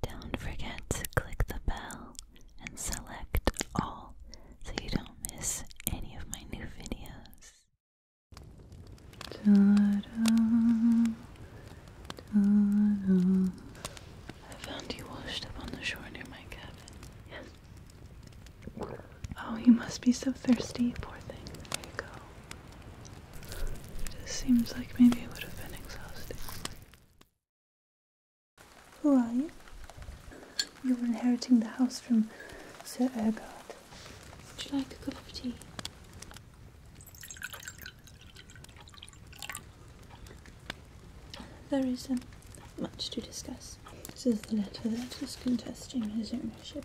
Don't forget to click the bell and select all so you don't miss any of my new videos. I found you washed up on the shore near my cabin. Yes. Oh, you must be so thirsty, poor thing. There you go. It seems like maybe it would have been exhausting. Who are you? You're inheriting the house from Sir Ergard. Would you like a cup of tea? There is um, much to discuss. This is the letter that is contesting his ownership.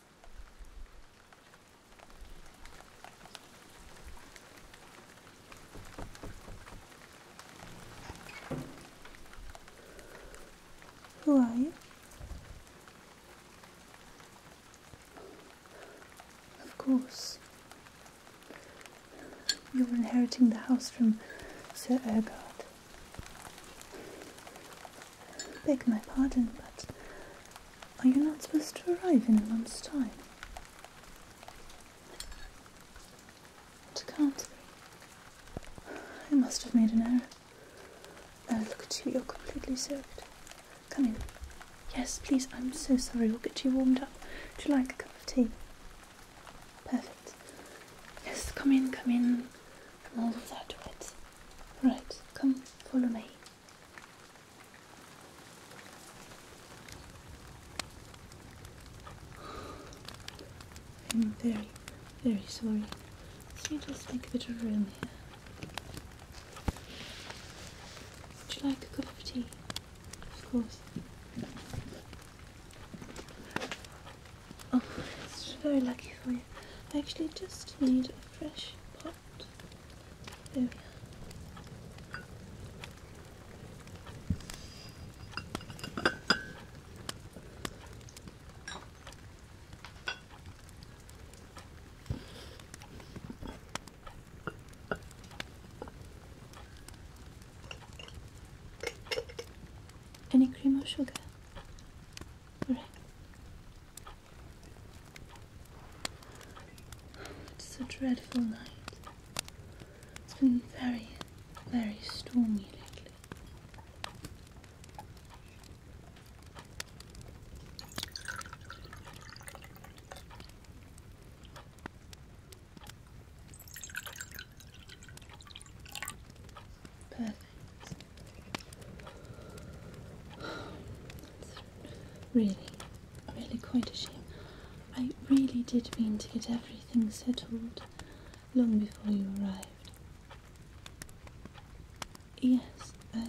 Who are you? Of course. You're inheriting the house from Sir Ergard. Beg my pardon, but are you not supposed to arrive in a month's time? It can't be. I must have made an error. Now look at you, you're completely soaked. Come in. Yes, please, I'm so sorry. We'll get you warmed up. Would you like a cup of tea? Perfect. Yes, come in, come in. all of that Right, come, follow me. I'm very, very sorry. Let me just make a bit of room here. Would you like a cup of tea? Of course. Oh, it's very lucky for you. I actually just need a fresh pot there we are. Any cream or sugar? Alright. It's a dreadful night. It's been very, very stormy lately. Perfect. Really, really quite a shame. I really did mean to get everything settled long before you arrived. Yes, I,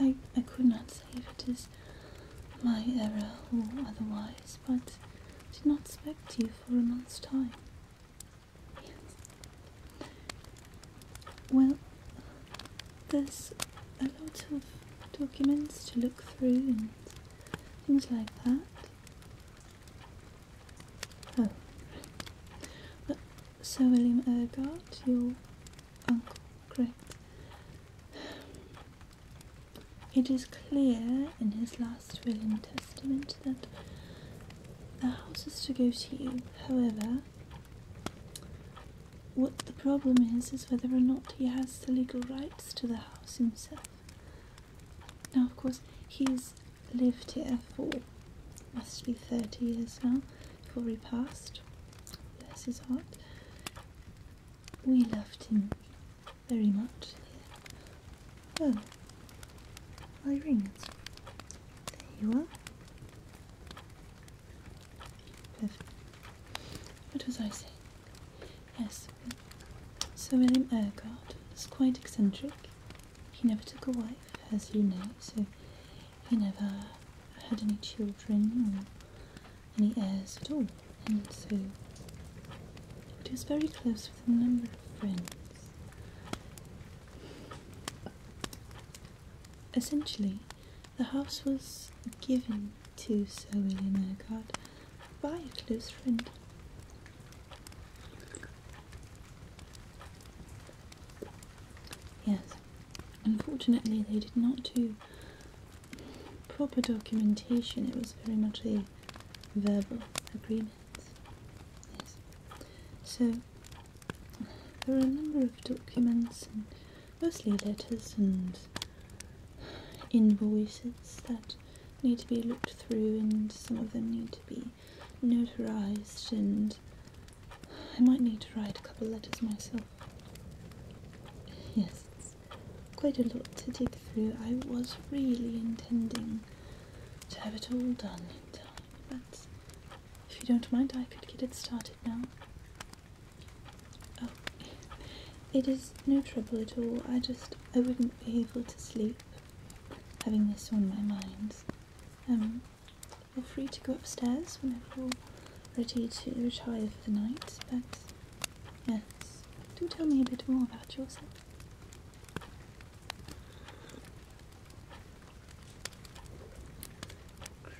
I, I could not say if it is my error or otherwise, but did not expect you for a month's time. Yes. Well, there's a lot of documents to look through and things like that. Oh, but Sir William Urquhart, your uncle, correct? It is clear in his last will and testament that the house is to go to you. However, what the problem is, is whether or not he has the legal rights to the house himself. Now, of course, he's lived here for must be 30 years now before he passed. Bless his heart. We loved him very much Oh, my rings. There you are with what was I saying? Yes, Sir William Urquhart was quite eccentric. He never took a wife, as you know, so he never had any children or any heirs at all, and so he was very close with a number of friends. Essentially, the house was given to Sir William Urquhart by a close friend. Yes, unfortunately, they did not do proper documentation, it was very much a verbal agreement. So, there are a number of documents mostly letters and invoices that need to be looked through and some of them need to be notarized and I might need to write a couple of letters myself. Yes, it's quite a lot to dig through. I was really intending to have it all done in time, but if you don't mind I could get it started about Oh, it is no trouble at all. I just, I wouldn't be able to sleep having this on my mind. Um, feel free to go upstairs whenever you're ready to retire for the night, but yes, do tell me a bit more about yourself.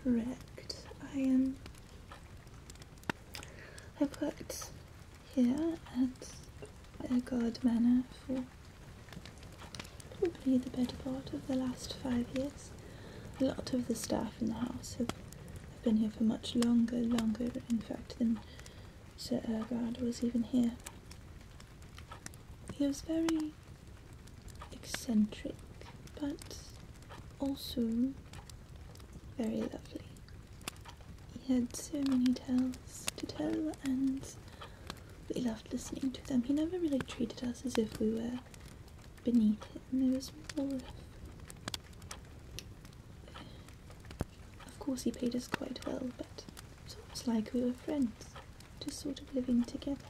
Correct. I am I have worked here at Beauregard Manor for probably the better part of the last five years. A lot of the staff in the house have, have been here for much longer, longer in fact than Sir Ergard was even here. He was very eccentric, but also very lovely. He had so many tales to tell and we loved listening to them. He never really treated us as if we were beneath him. There was more of course he paid us quite well, but it's almost like we were friends, just sort of living together.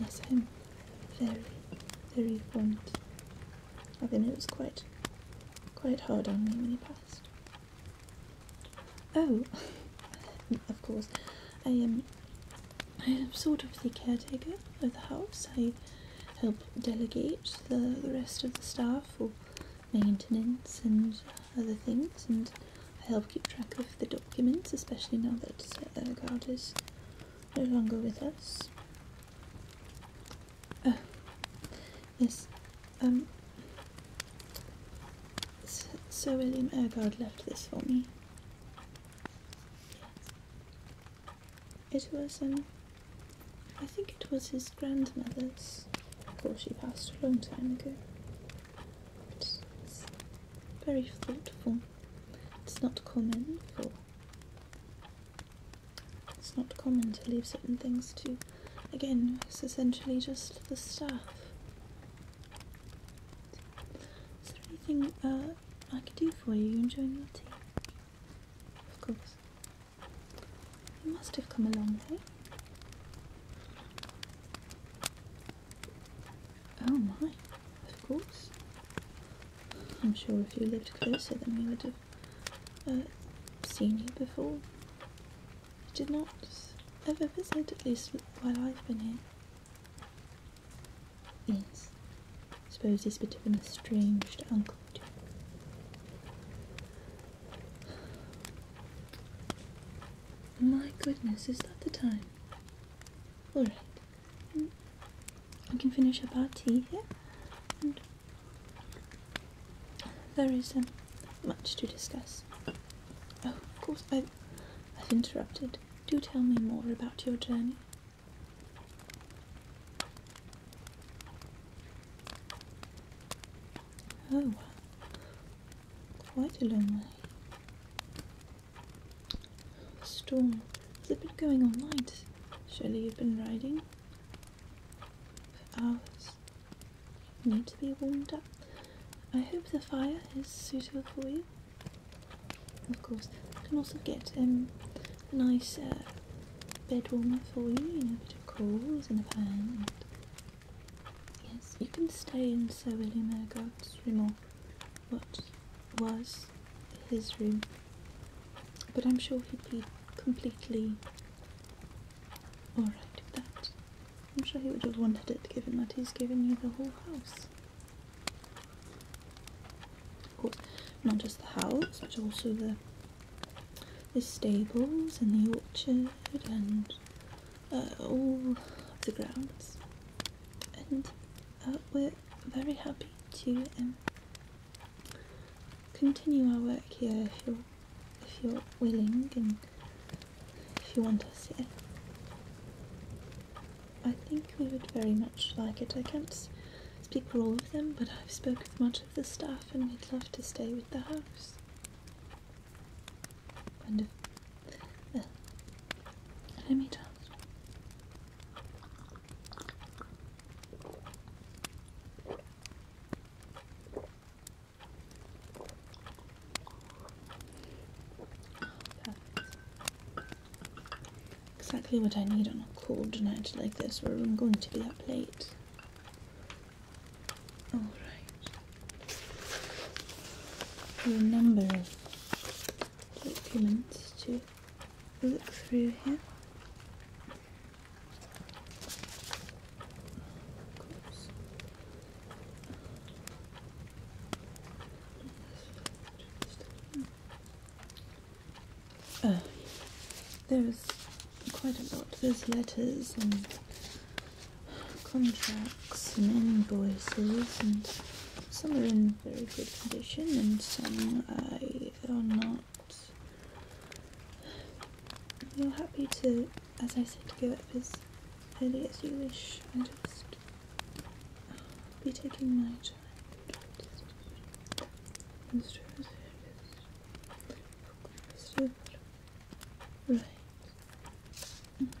Yes, I'm very, very fond of him. It was quite, quite hard on me when he passed. Oh, of course, I am. I am sort of the caretaker of the house. I help delegate the, the rest of the staff for maintenance and other things, and I help keep track of the documents, especially now that Sir uh, Ergard is no longer with us. Oh, um, Sir William Ergard left this for me. It was, um, I think it was his grandmother's. Of course, she passed a long time ago. Very thoughtful. It's not common for it's not common to leave certain things to again, it's essentially just the staff. Is there anything uh, I could do for you? You enjoying your tea? Of course. You must have come a long way. Oh my, of course. I'm sure if you lived closer then we would have uh, seen you before. You did not ever visit, at least while I've been here. Yes. I Suppose he's a bit of an estranged uncle My goodness, is that the time? Alright. We can finish up our tea here. there is isn't um, much to discuss. Oh, of course, I've, I've interrupted. Do tell me more about your journey. Oh, quite a long way. Storm. There's a bit going on night. Surely you've been riding for hours. You need to be warmed up. I hope the fire is suitable for you. Of course, I can also get um, a nice uh, bed warmer for you, you know, a bit of coals in a pan. yes, you can stay in Sir William Ergott's room or what was his room, but I'm sure he'd be completely alright with that. I'm sure he would have wanted it given that he's given you the whole house. Of course, not just the house, but also the the stables and the orchard and uh, all of the grounds and uh, we're very happy to um, continue our work here if you're, if you're willing and if you want us here. I think we would very much like it. I can't speak for all of them, but I've spoken with much of the staff and we'd love to stay with the house. And let me just. Exactly what I need on a cold night like this where I'm going to be up late. Alright. A number take a few minutes to look through here. Oh, uh, there's quite a lot. There's letters and contracts and invoices, and some of them very good condition and some I are not. You're happy to, as I said, to go up as early as you wish. I just will be taking my time. Right. Mm-hmm.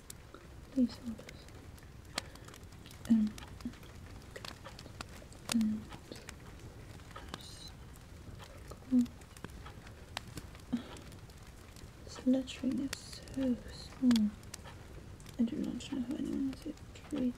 Please hold us. and cool. This I do not know how anyone is able to read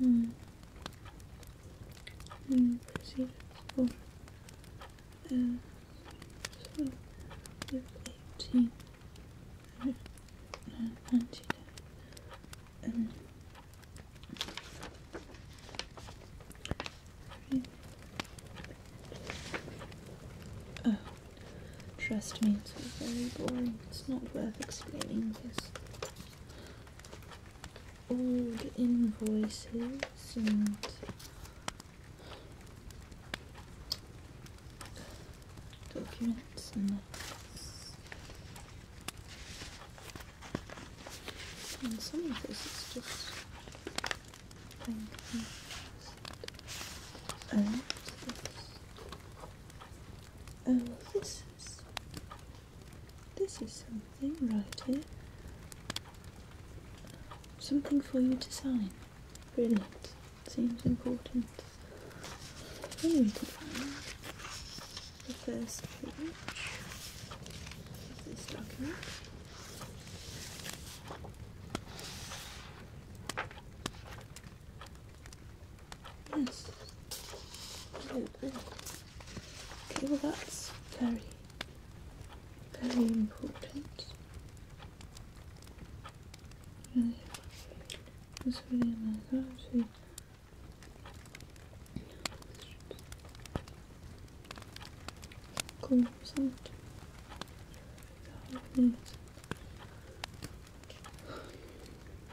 and you proceed uh, so with 18 Oh, trust me, it's very boring. It's not worth explaining this old invoices and documents and notes. And some of this is just blank Oh, this this is something right here. Something for you to sign. Brilliant. Seems important. Anyway, oh, to find the first page of this document. Yes. Okay, well that's very, very important. Really, it's really nice. Actually, cool. Something. That would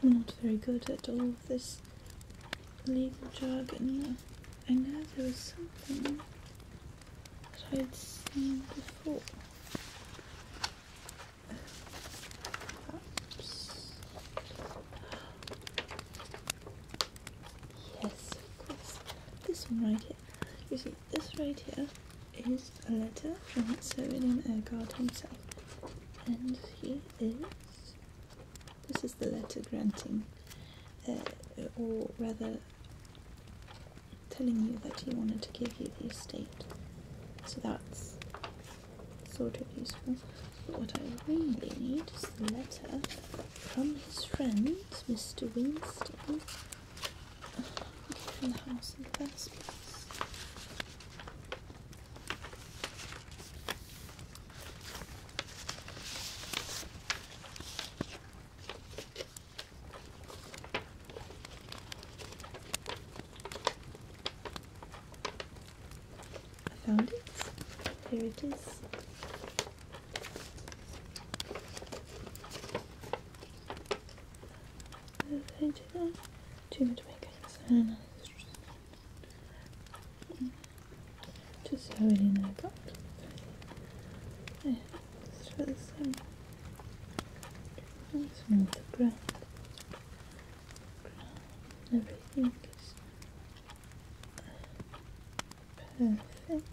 I'm not very good at all of this legal jargon. I know there was something that I had seen before. Perhaps. Yes, of course. This one right here. You see, this right here is a letter from Sir William Ergard himself. And he is this is the letter granting, uh, or rather telling you that he wanted to give you the estate. So that's sort of useful. But what I really need is the letter from his friend, Mr. Winston, from the house in the I found it. Here it is. Too much makeup. Just have it in like that. the same. Let's move the ground. Everything is perfect.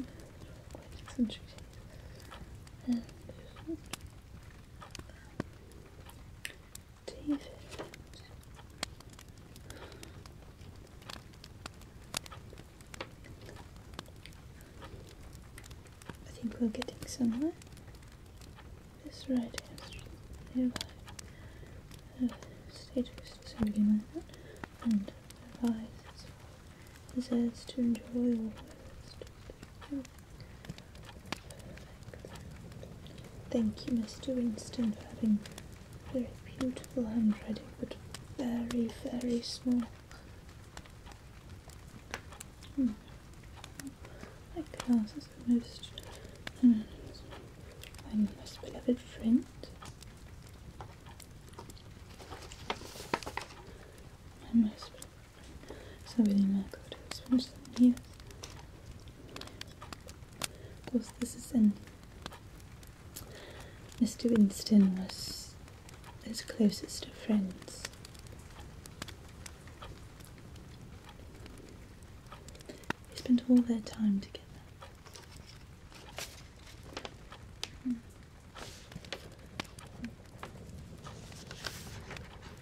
Quite concentrated. I think we're getting somewhere. This right here, Uh, status is And advice It says to enjoy all words. Thank you, Mr. Winston, for having very beautiful handwriting, but very, very small. Hmm. My glasses are most. Hmm, my most beloved friend. My most sobre el macro de los Unidos. Of course, this is in. Mr. Winston was his closest of friends. They spent all their time together. Hmm.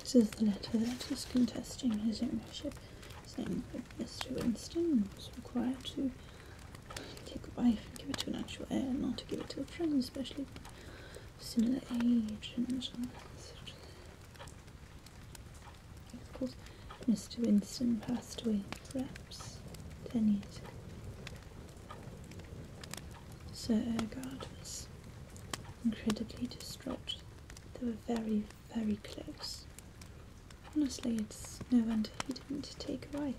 This is the letter that is contesting his ownership, saying that Mr. Winston was required to take a wife and give it to an actual heir, not to give it to a friend, especially of similar age Of course, Mr. Winston passed away perhaps ten years ago. Sir Ergard was incredibly distraught they were very, very close. Honestly, it's no wonder he didn't take a wife.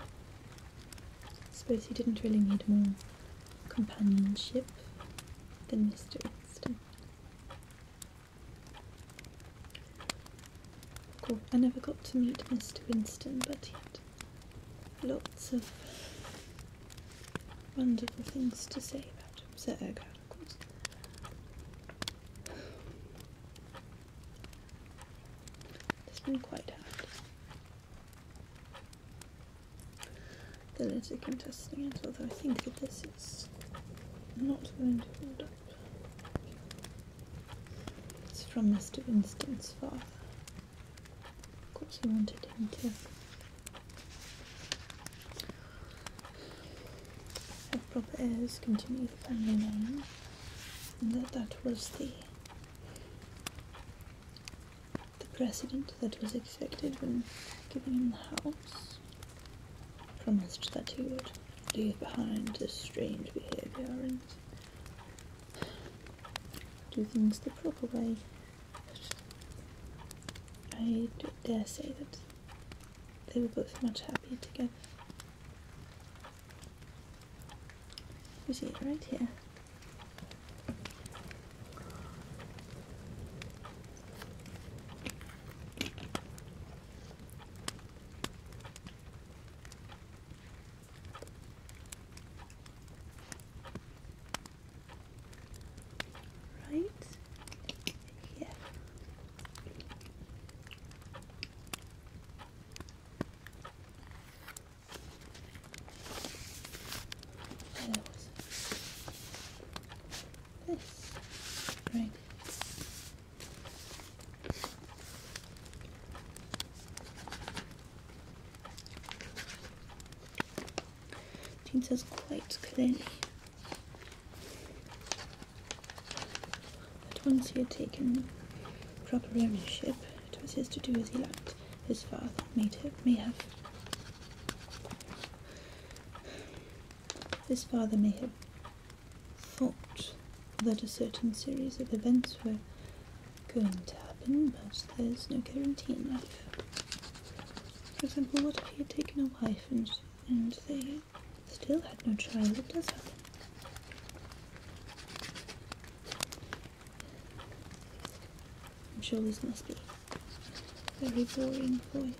I suppose he didn't really need more companionship than Mr. Winston. Of I never got to meet Mr. Winston, but he had lots of wonderful things to say about him, Sir Urquhart, of It's been quite hard. The letter contesting it, although I think that this is not going to hold up. It's from Mr. Winston's father. Of course, he wanted him to the proper heirs continued the family name, and that that was the the precedent that was expected when giving him the house. Promised that he would leave behind this strange behaviour and do things the proper way. I dare say that they were both much happier together. You it right here right here. this great. Teen says quite clearly. But once he had taken proper ownership, it was his to do as he liked. His father may have. His father may have thought that a certain series of events were going to happen, but there's no guarantee in life. For example, what if he had taken a wife and, they still had no child? It does happen. I'm sure this must be very boring for you.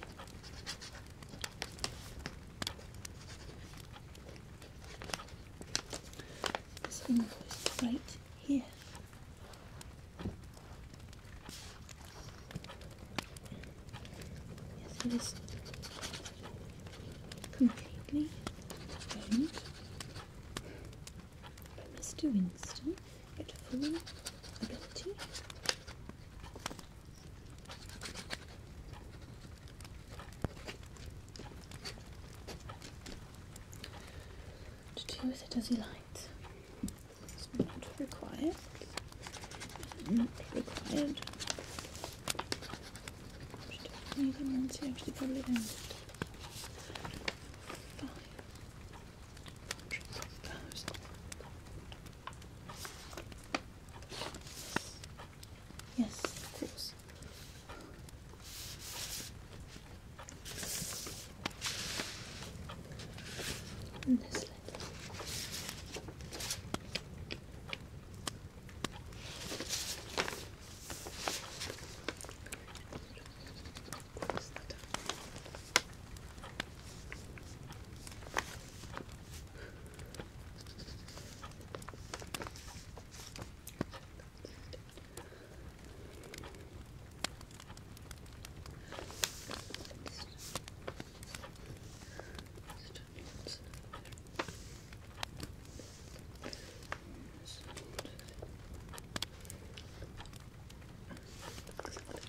This invoice right here. Yes, it is completely owned by Mr. Winston get full ability. To do it as he likes not required. not required. You can actually, actually probably don't. Yes, of course. And this lid. Close that up. This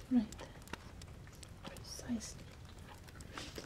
Right there. Precisely. Right there.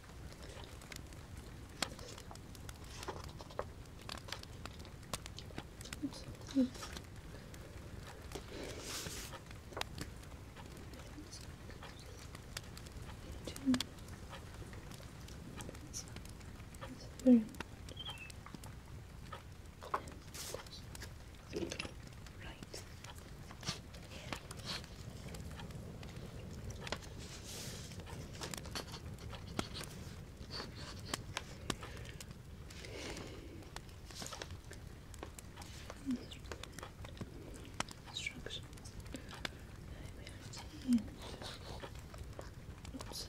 Mm -hmm. Very much. Right. Instruction. Right. Oops. Right.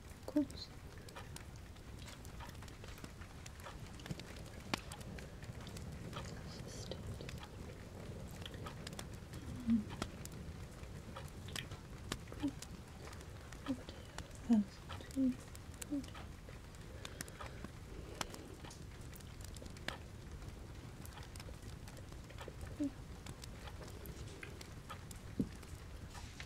close. Mm. Cool. One, two, three. Cool.